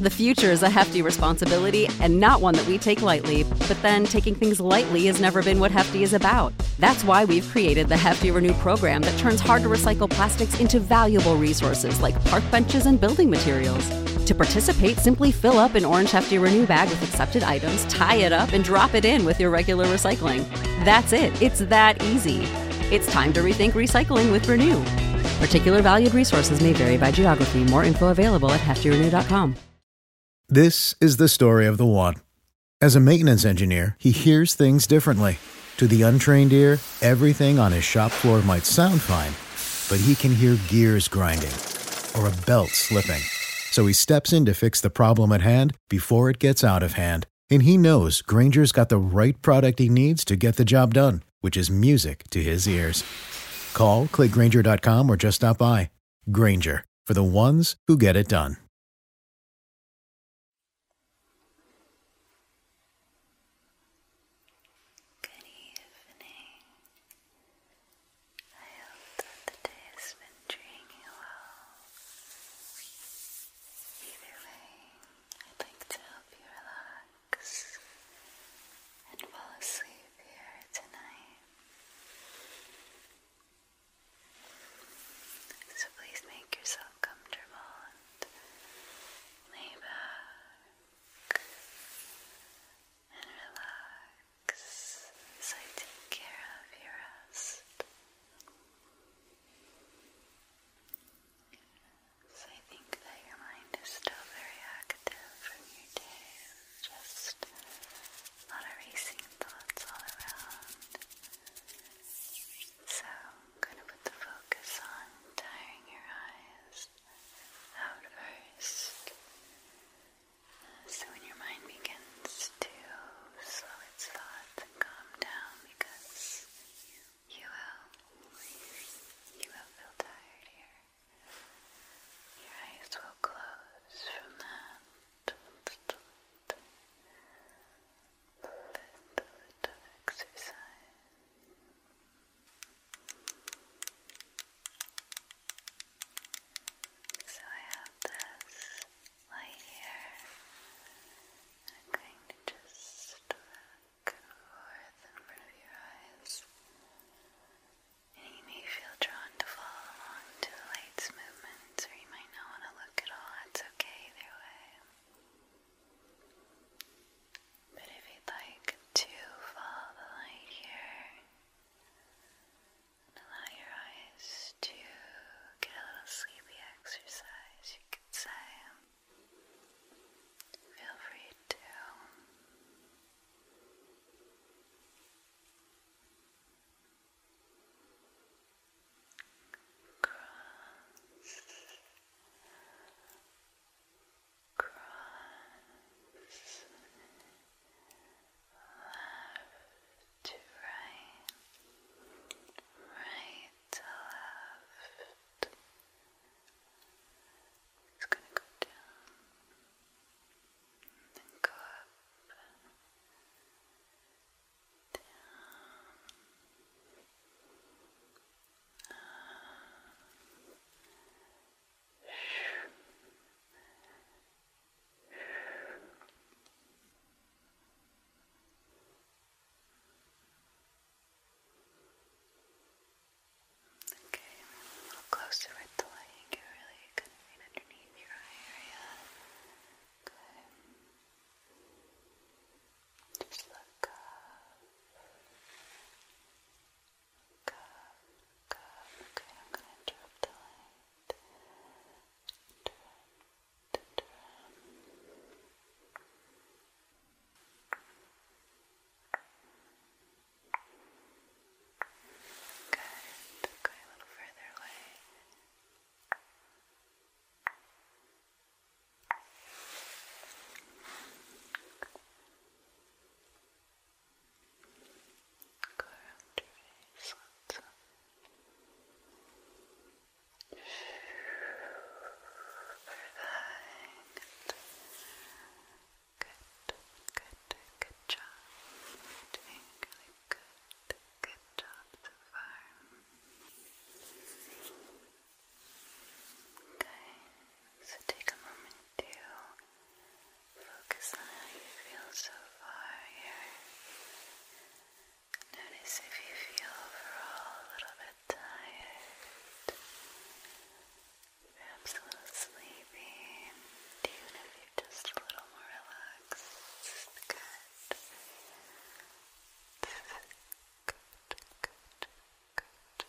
The future is a hefty responsibility and not one that we take lightly, but then taking things lightly has never been what Hefty is about. That's why we've created the Hefty Renew program that turns hard to recycle plastics into valuable resources like park benches and building materials. To participate, simply fill up an orange Hefty Renew bag with accepted items, tie it up, and drop it in with your regular recycling. That's it, it's that easy. It's time to rethink recycling with Renew. Particular valued resources may vary by geography. More info available at heftyrenew.com. This is the story of the one. As a maintenance engineer, he hears things differently. To the untrained ear, everything on his shop floor might sound fine, but he can hear gears grinding or a belt slipping. So he steps in to fix the problem at hand before it gets out of hand. And he knows Granger's got the right product he needs to get the job done which is music to his ears. Call, clickgranger.com, or just stop by. Granger, for the ones who get it done. Good evening. I hope that the day has been treating you well. Either way, I'd like to help you relax relax and fall asleep here tonight. So please make yourself comfortable and lay back and relax as I take care of your rest. So I think that your mind is still very active from your day, just a lot of racing thoughts all around. So I'm going to put the focus on tiring your eyes out first. So when your mind begins to slow its thoughts and calm down because you will, you will feel tired here. Your eyes will close from that bit of exercise. So I have this light here. I'm going to just back and forth of your eyes. And you may feel drawn to follow along to the light's movements, or you might not want to look at all. That's okay either way. But if you'd like to follow the light here and allow your eyes to get a little sleepy exercise, you could say. Feel free to cross, cross left to right, right to left. It's gonna go down and go up, down, Good. Okay, a little closer with the light and really good right underneath your eye area. Good. Just look up. up, up. Okay, I'm going to interrupt the light. Good. Go a little further away. Go around your face. Let's Perfect. Good. Good. Good. Good job. Doing really good. Good job so far. Okay. So take a moment to focus on how you feel so far here. Notice if you feel overall a little bit bit tired, perhaps a little sleepy, even if you're just a little more relaxed, good. Good, good, good.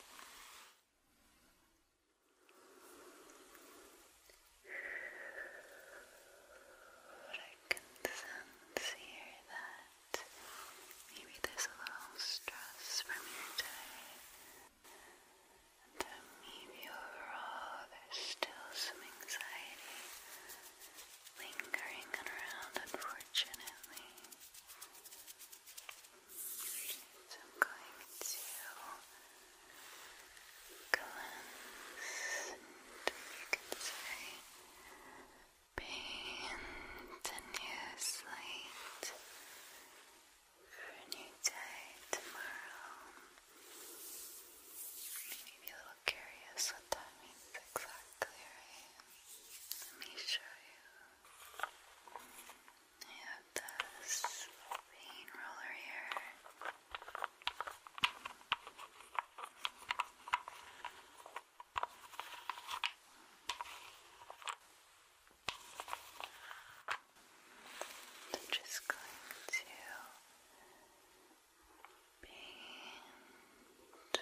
I can sense here that maybe there's a little stress from your day. maybe overall there's still some anxiety lingering around, unfortunately. So I'm going to cleanse and you can say paint a new slate for a new day tomorrow. You be a little curious what that means exactly, Let me show you. I have this paint roller here. I'm just going to paint, down.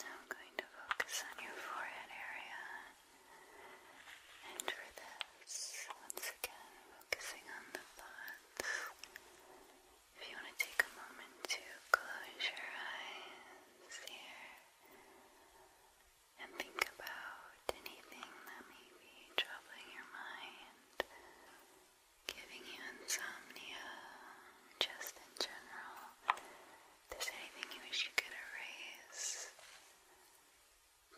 Now I'm going to focus on your forehead area. And for this, once again, focusing on the thoughts. If you want to take a moment to close your eyes here and think about anything that may be troubling your mind giving you insomnia, just in general. there's anything you wish you could erase,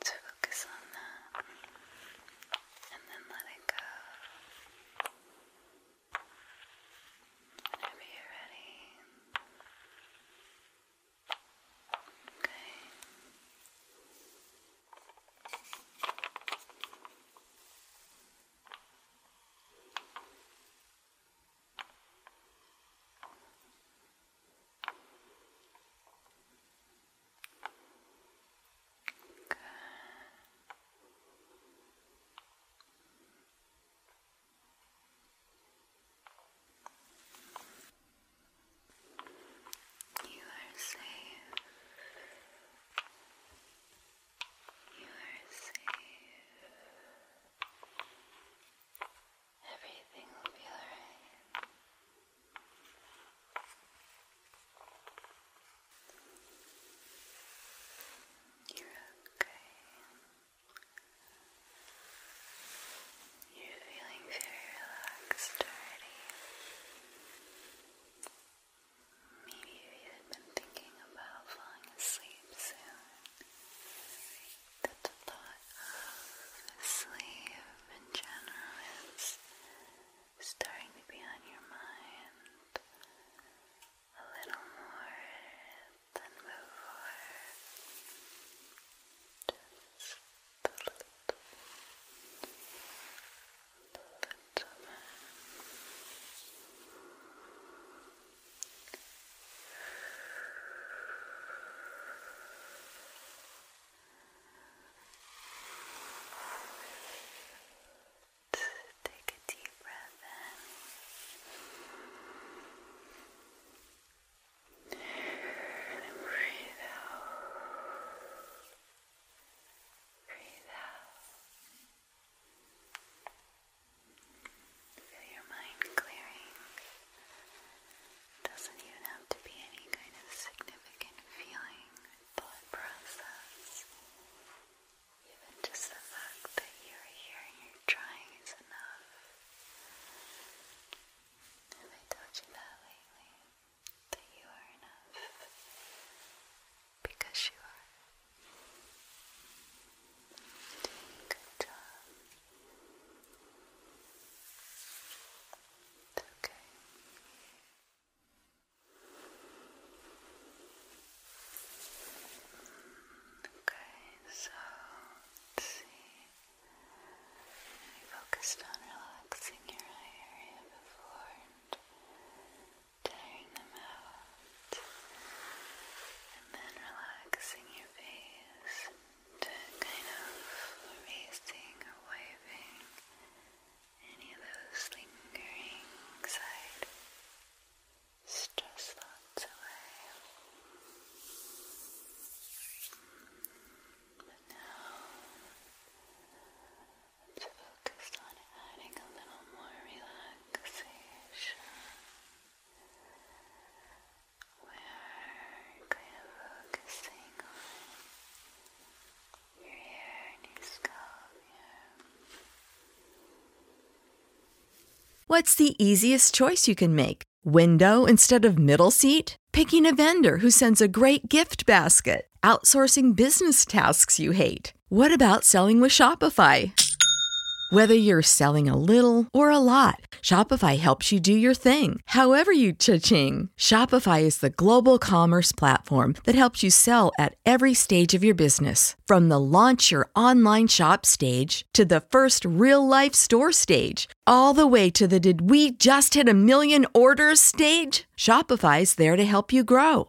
to focus on that and then let it go. Whenever you're ready. Okay. Good. You are safe. You are safe. Everything will be alright. You're okay. You're feeling very relaxed already. Maybe you had been thinking about falling asleep soon. That the thought of sleep in general is starting to be on your mind a little more than before. Just a little. That's a man. Take a deep breath in and breathe out. Breathe out. Feel your mind clearing. Doesn't even have to be any kind of significant feeling thought process. Even just the fact that you're here you're trying is enough. Have I told you that lately? That you are enough because you are. Good job. Okay. Okay, so let's see. I focused on relaxing your eye area before tiring them out, and then relaxing your face to kind of erasing or waving any of those lingering side stress thoughts away. But now What's the easiest choice you can make? Window instead of middle seat? Picking a vendor who sends a great gift basket? Outsourcing business tasks you hate? What about selling with Shopify? Whether you're selling a little or a lot, Shopify helps you do your thing, however you cha-ching. Shopify is the global commerce platform that helps you sell at every stage of your business. From the launch your online shop stage to the first real life store stage, all the way to the did we just hit a million orders stage? Shopify is there to help you grow.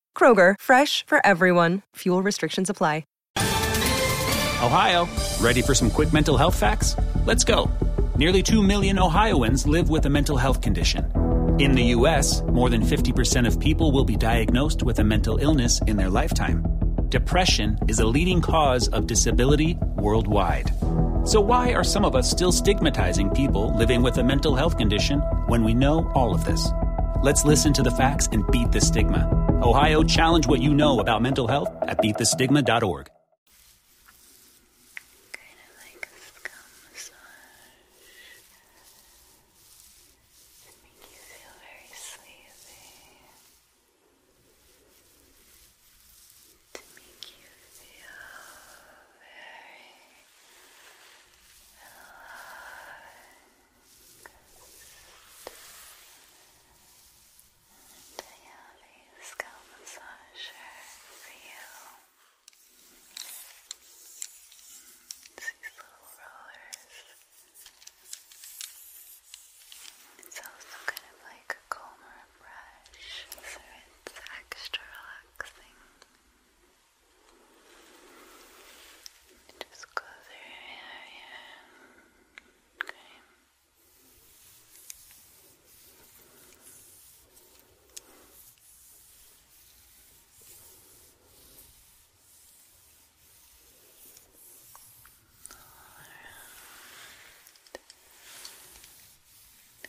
Kroger, fresh for everyone. Fuel restrictions apply. Ohio, ready for some quick mental health facts? Let's go. Nearly 2 million Ohioans live with a mental health condition. In the U.S., more than 50% of people will be diagnosed with a mental illness in their lifetime. Depression is a leading cause of disability worldwide. So, why are some of us still stigmatizing people living with a mental health condition when we know all of this? Let's listen to the facts and beat the stigma. Ohio, challenge what you know about mental health at beatthestigma.org. Kind of like a scum massage. it make you feel very sleepy. To make you feel very and I have a scalp massager for you. It's these little rollers. It's also kind of like a comb or a brush, so it's extra relaxing. And just close your hair Okay. All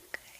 Okay.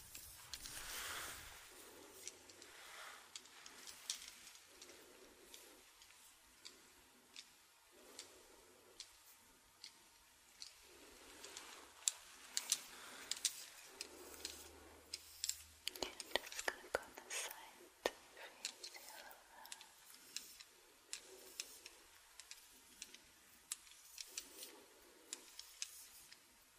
I'm just going to go on this side to freeze you over. Good.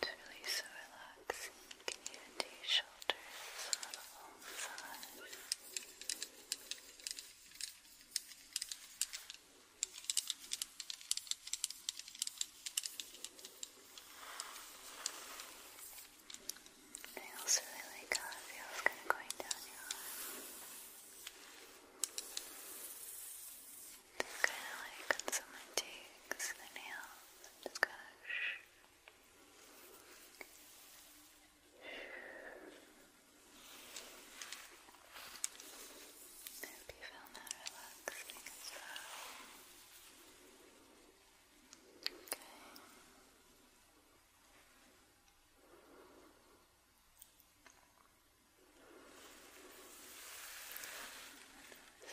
It's really so relaxing. You even do your shoulders on I also really like how it kind of going down your arm. Just kind of like on someone takes nails just kind of shh. I hope you Okay.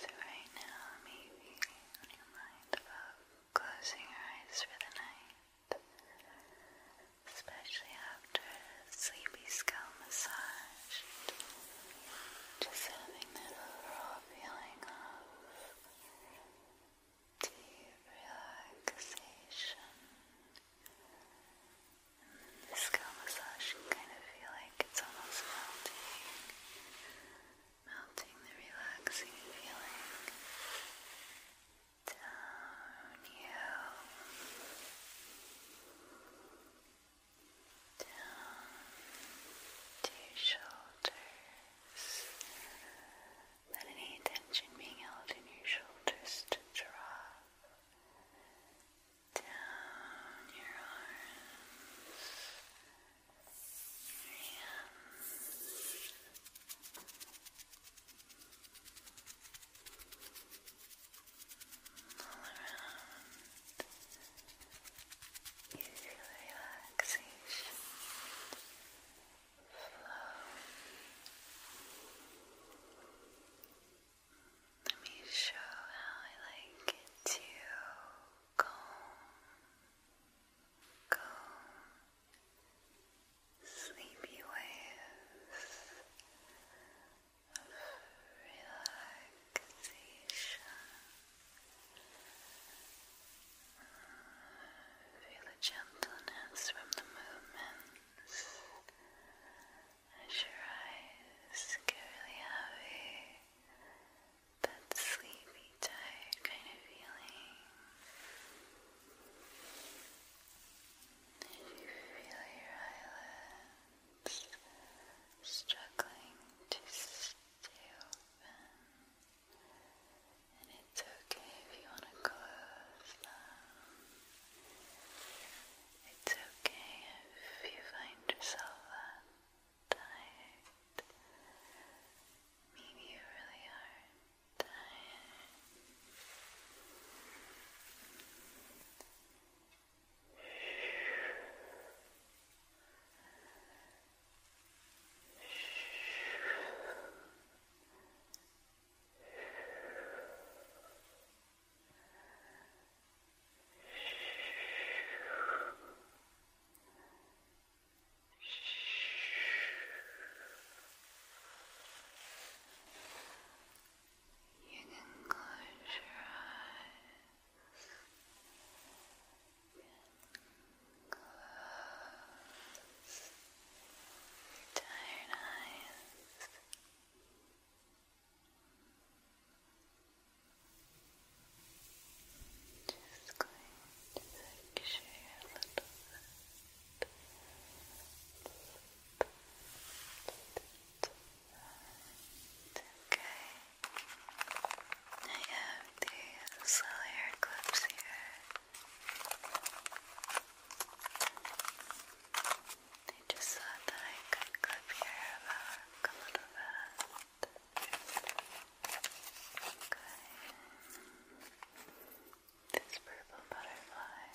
So right now, maybe on your mind about closing your eyes for the night, especially after a sleepy scalp massage, just having that overall feeling of deep relaxation. the scalp massage kind of feel like it's almost melting, melting the relaxing feeling down you, down to your shoulders but any tension being held in your shoulders to drop down your arms, All around, you feel the relaxation flow. Let me show how I like to calm, calm sleepy waves of Relaxation. Feel the gentleness from the movements as your eyes get really heavy. That sleepy, tired kind of feeling. you feel your eyelids struggling to stay open, and it's okay if you want to close them. It's okay if you find yourself tired. Maybe you really are tired. Relax. You can close your eyes and close your tired eyes. Just going to picture a little Okay. I have these little hair clips here. They just thought that I could clip your hair back a little bit. Okay. This purple butterfly.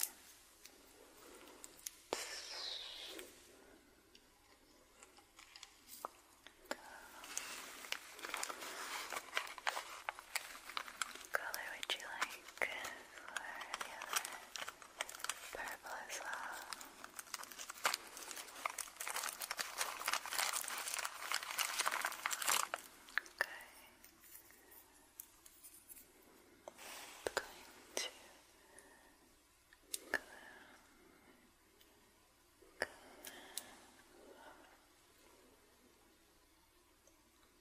Go color would you like for the other? Purple as well. Okay. I'm going to glue, glue. Okay.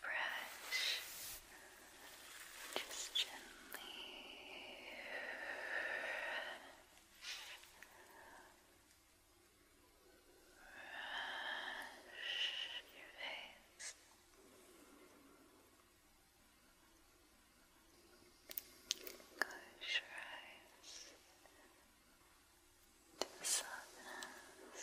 brush just gently brush your face close your eyes to the softness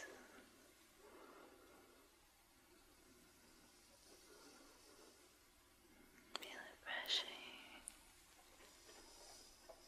Feel it rushing down. Rush. Rush.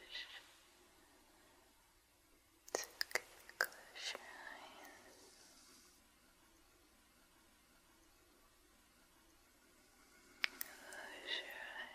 It's okay, close your eyes. Close your eyes. Close your eyes.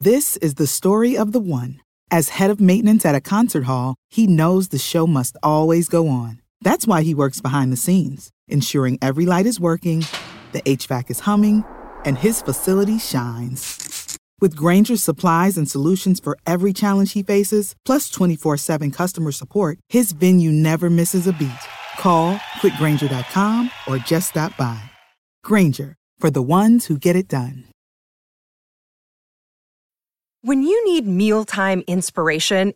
This is the story of the one. As head of maintenance at a concert hall, he knows the show must always go on. That's why he works behind the scenes ensuring every light is working, the HVAC is humming, and his facility shines. With Granger's supplies and solutions for every challenge he faces, plus 24 7 customer support, his venue never misses a beat. Call quickgranger.com or just stop by. Granger, for the ones who get it done. When you need mealtime inspiration,